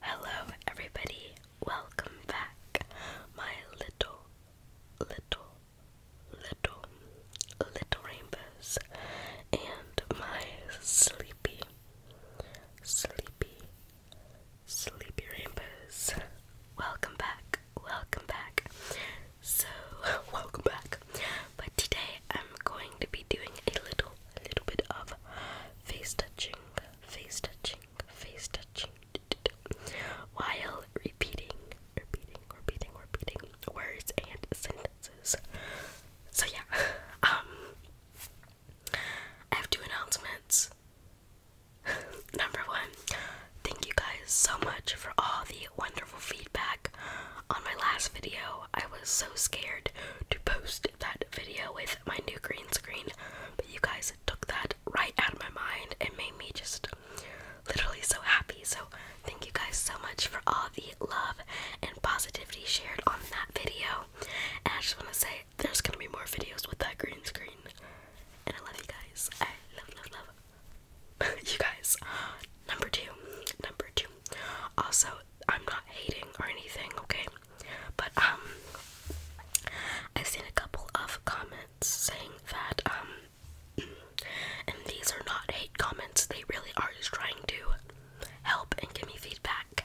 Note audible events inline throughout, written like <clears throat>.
Hello, everybody. Welcome back, my little, little, little, little rainbows, and my sleepy, sleepy, sleepy rainbows. Welcome back, welcome back. So, <laughs> welcome back. But today I'm going to be doing a little a little bit of face touching, face touching, face touching, while repeating, repeating, repeating, repeating words and sentences. So yeah, <laughs> um, I have two announcements. <laughs> Number one, thank you guys so much for all the wonderful feedback on my last video. I was so scared to post that video with my new green screen, but you guys took that right out of my mind and made me just literally so happy. So, thank you guys so much for all the love and positivity shared on that video. And I just want to say there's going to be more videos with that green screen. And I love you guys. I love, love, love <laughs> you guys. Number two. Number two. Also, I'm not hating or anything, okay? But um I've seen a couple of comments saying that um <clears throat> and these are not hate comments, they really are just trying to help and give me feedback.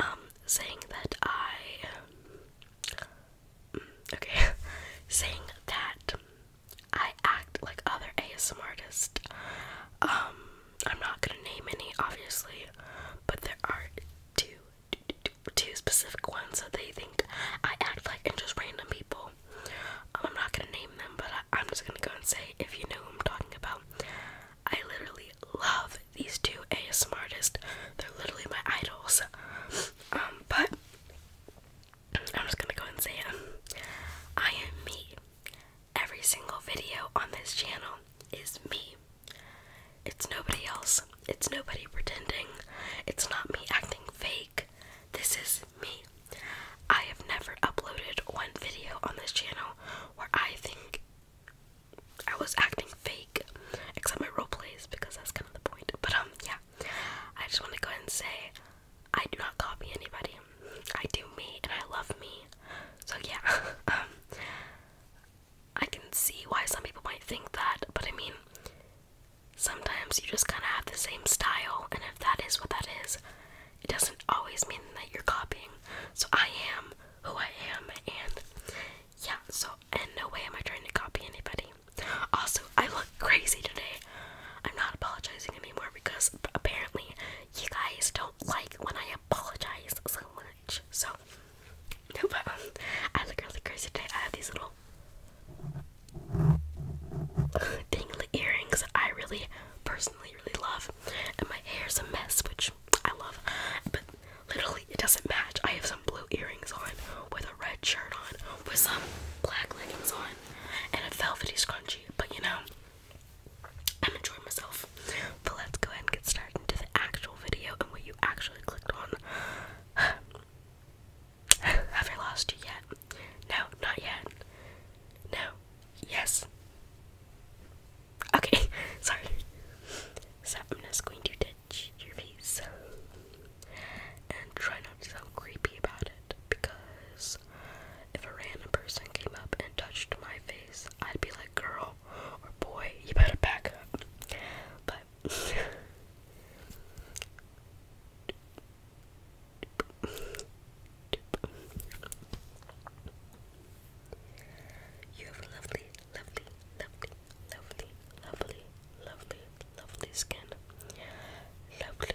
Um, saying that I mm, okay, <laughs> saying that I act like other ASM artists. Um I'm not gonna name any, obviously, but there are two specific ones that they think I act like and just random people. Um, I'm not gonna name them, but I, am just gonna go and say if you know who I'm talking about. I literally love these two ASMR artists. They're literally my idols. Um, but I'm just gonna go and say um, I am me. Every single video on this channel is me. It's nobody else. It's nobody pretending. It's not me acting fake. This is me. I have never uploaded one video on this channel where I think I was acting fake, except my role plays because that's kind of the point. But um, yeah, I just want to go ahead and say I do not copy anybody. I do me and I love me. So yeah, <laughs> um, I can see why some people might think that, but I mean, sometimes you just kind of have the same style, and if that is what that is, it doesn't always mean that you're copying. So I am who I am, and yeah, so in no way am I trying to copy anybody. Also, I look crazy today. I'm not apologizing anymore because apparently you guys don't like when I apologize so much. So, <laughs> but um, I look really crazy today. I have these little <laughs> dangly earrings. I really, personally, really love, and my hair's a mess, which I love. But literally, it doesn't match. I have some blue earrings on with a red shirt on with some black leggings on and a velvety scrunchie. But you know. I'm enjoying myself. But let's go ahead and get started into the actual video and what you actually clicked on. <sighs> Have I lost you yet? No, not yet. No. Yes. Okay, <laughs> sorry. So I'm just going to touch your face and try not to sound creepy about it because if a random person came up and touched my face, I'd be like, girl or boy, you better back up. But <laughs> You have lovely, lovely, lovely, lovely, lovely, lovely, lovely skin. Lovely,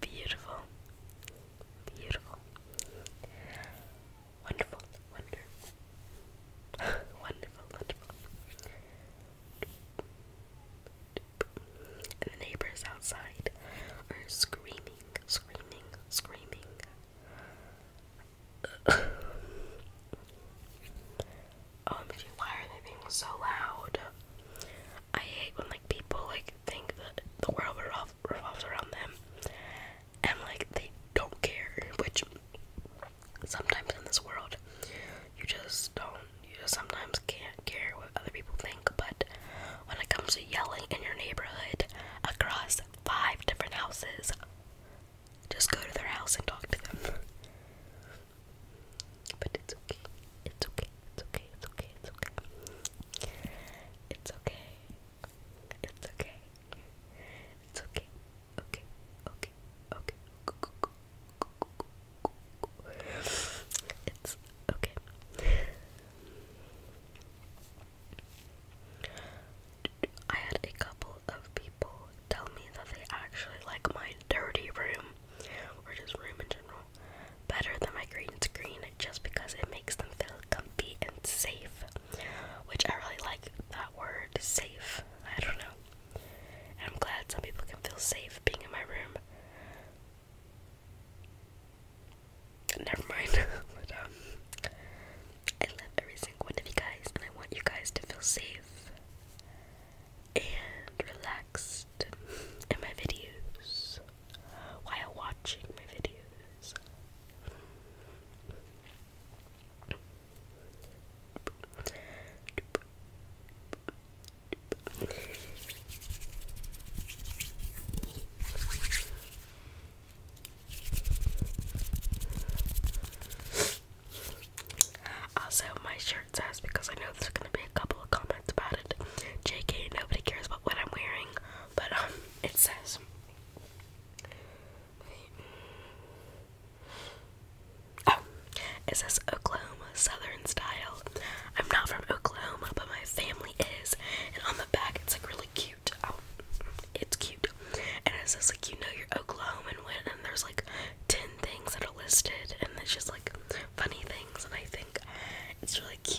Beautiful. Beautiful. Wonderful. Wonderful. <laughs> wonderful. Wonderful. And the neighbors outside are screaming, screaming, screaming. <laughs> Um, OMG, why are they being so loud? I hate when like people like think that the world we're all revolves around them, and like they don't care. Which sometimes in this world, you just don't. You just sometimes can't care what other people think. But when it comes to yelling in your neighborhood across five different houses, just go to their house and talk to them. But it's okay. It's okay okay, it's okay, it's okay, it's okay. It's okay. It's okay. It's okay. Okay. Okay. Okay. It's okay. I had a couple of people tell me that they actually like my dirty room or just room in general better than my green screen just because it makes them feel comfy and safe, which I really like that word safe. I don't know. I'm glad some people can feel safe being in my room. Never mind. <laughs> Um, I love every single one of you guys, and I want you guys to feel safe and relax relaxed in my videos while watching my videos. Also, my shirt says because I know there's going to be a couple comments about it. JK, nobody cares about what I'm wearing, but um, it says. Oh, it says Oklahoma Southern style. I'm not from Oklahoma, but my family is. And on the back, it's like really cute. Oh, it's cute. And it says like you know you're Oklahoman when, and there's like ten things that are listed, and it's just like funny things. And I think it's really cute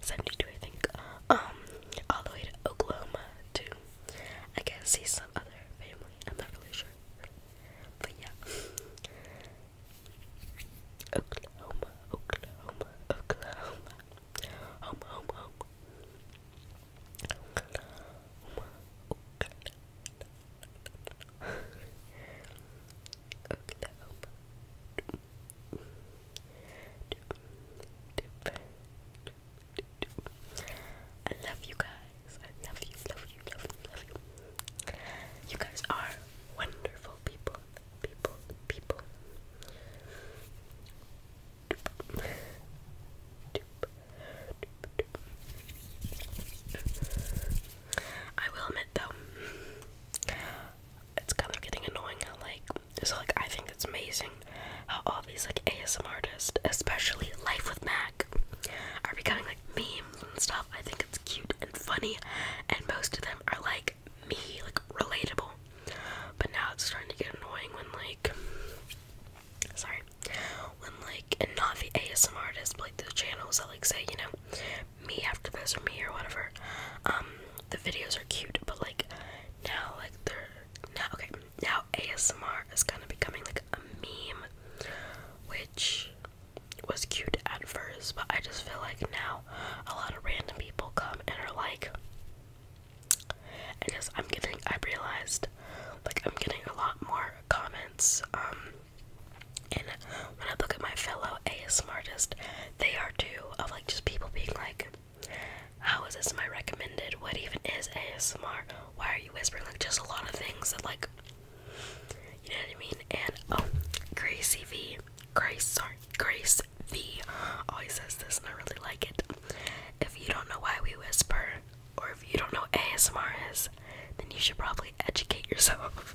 72 I think, um, all the way to Oklahoma to, I guess, see some other family, I'm not really sure, but yeah, Oklahoma, Oklahoma, Oklahoma, home, home, home, Oklahoma, Oklahoma, I love you guys. I love you, love you, love you, love you. You guys are wonderful people. People, people. I will admit though, it's kind of getting annoying how like so like I think it's amazing how all these like ASMR artists, especially Life with Mac, are becoming like memes and stuff. I think it's cute and funny and most of them are like me, like relatable. But now it's starting to get annoying when like sorry. When like and not the ASM artists but like the channels that like say, you know, me after this or me or whatever. Um, the videos are cute, but like now, like they're now okay. Now ASMR is kind of becoming like a meme, which was cute at first, but I just feel like now a lot of random people come and are like, and just I'm getting I realized like I'm getting a lot more comments um and when I look at my fellow ASMR artists, they are too of like just people being like, how is this my recommended? What even is ASMR? Why are you whispering? Like just a lot of things that like, you know what I mean? And oh, Gracie V, Grace, sorry, Grace V always says this and I really like it. If you don't know why we whisper, or if you don't know ASMR is, then you should probably educate yourself.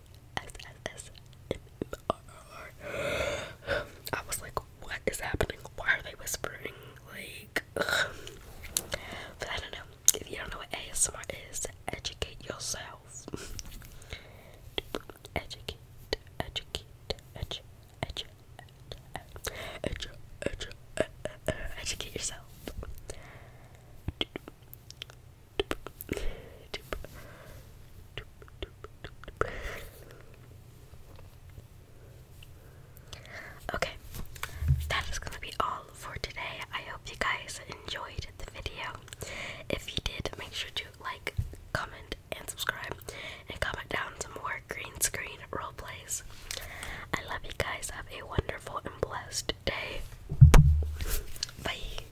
S-S-S-M-R-R. I was like, what is happening? Why are they whispering? Like, ugh. but I don't know. If you don't know what ASMR is, educate yourself. educate, educate, educate, educate, educate, educate, educate yourself. Okay, that is going to be all for today. I hope you guys enjoyed the video. If you did, make sure to like, comment, and subscribe, and comment down some more green screen role plays. I love you guys. Have a wonderful and blessed day. Bye.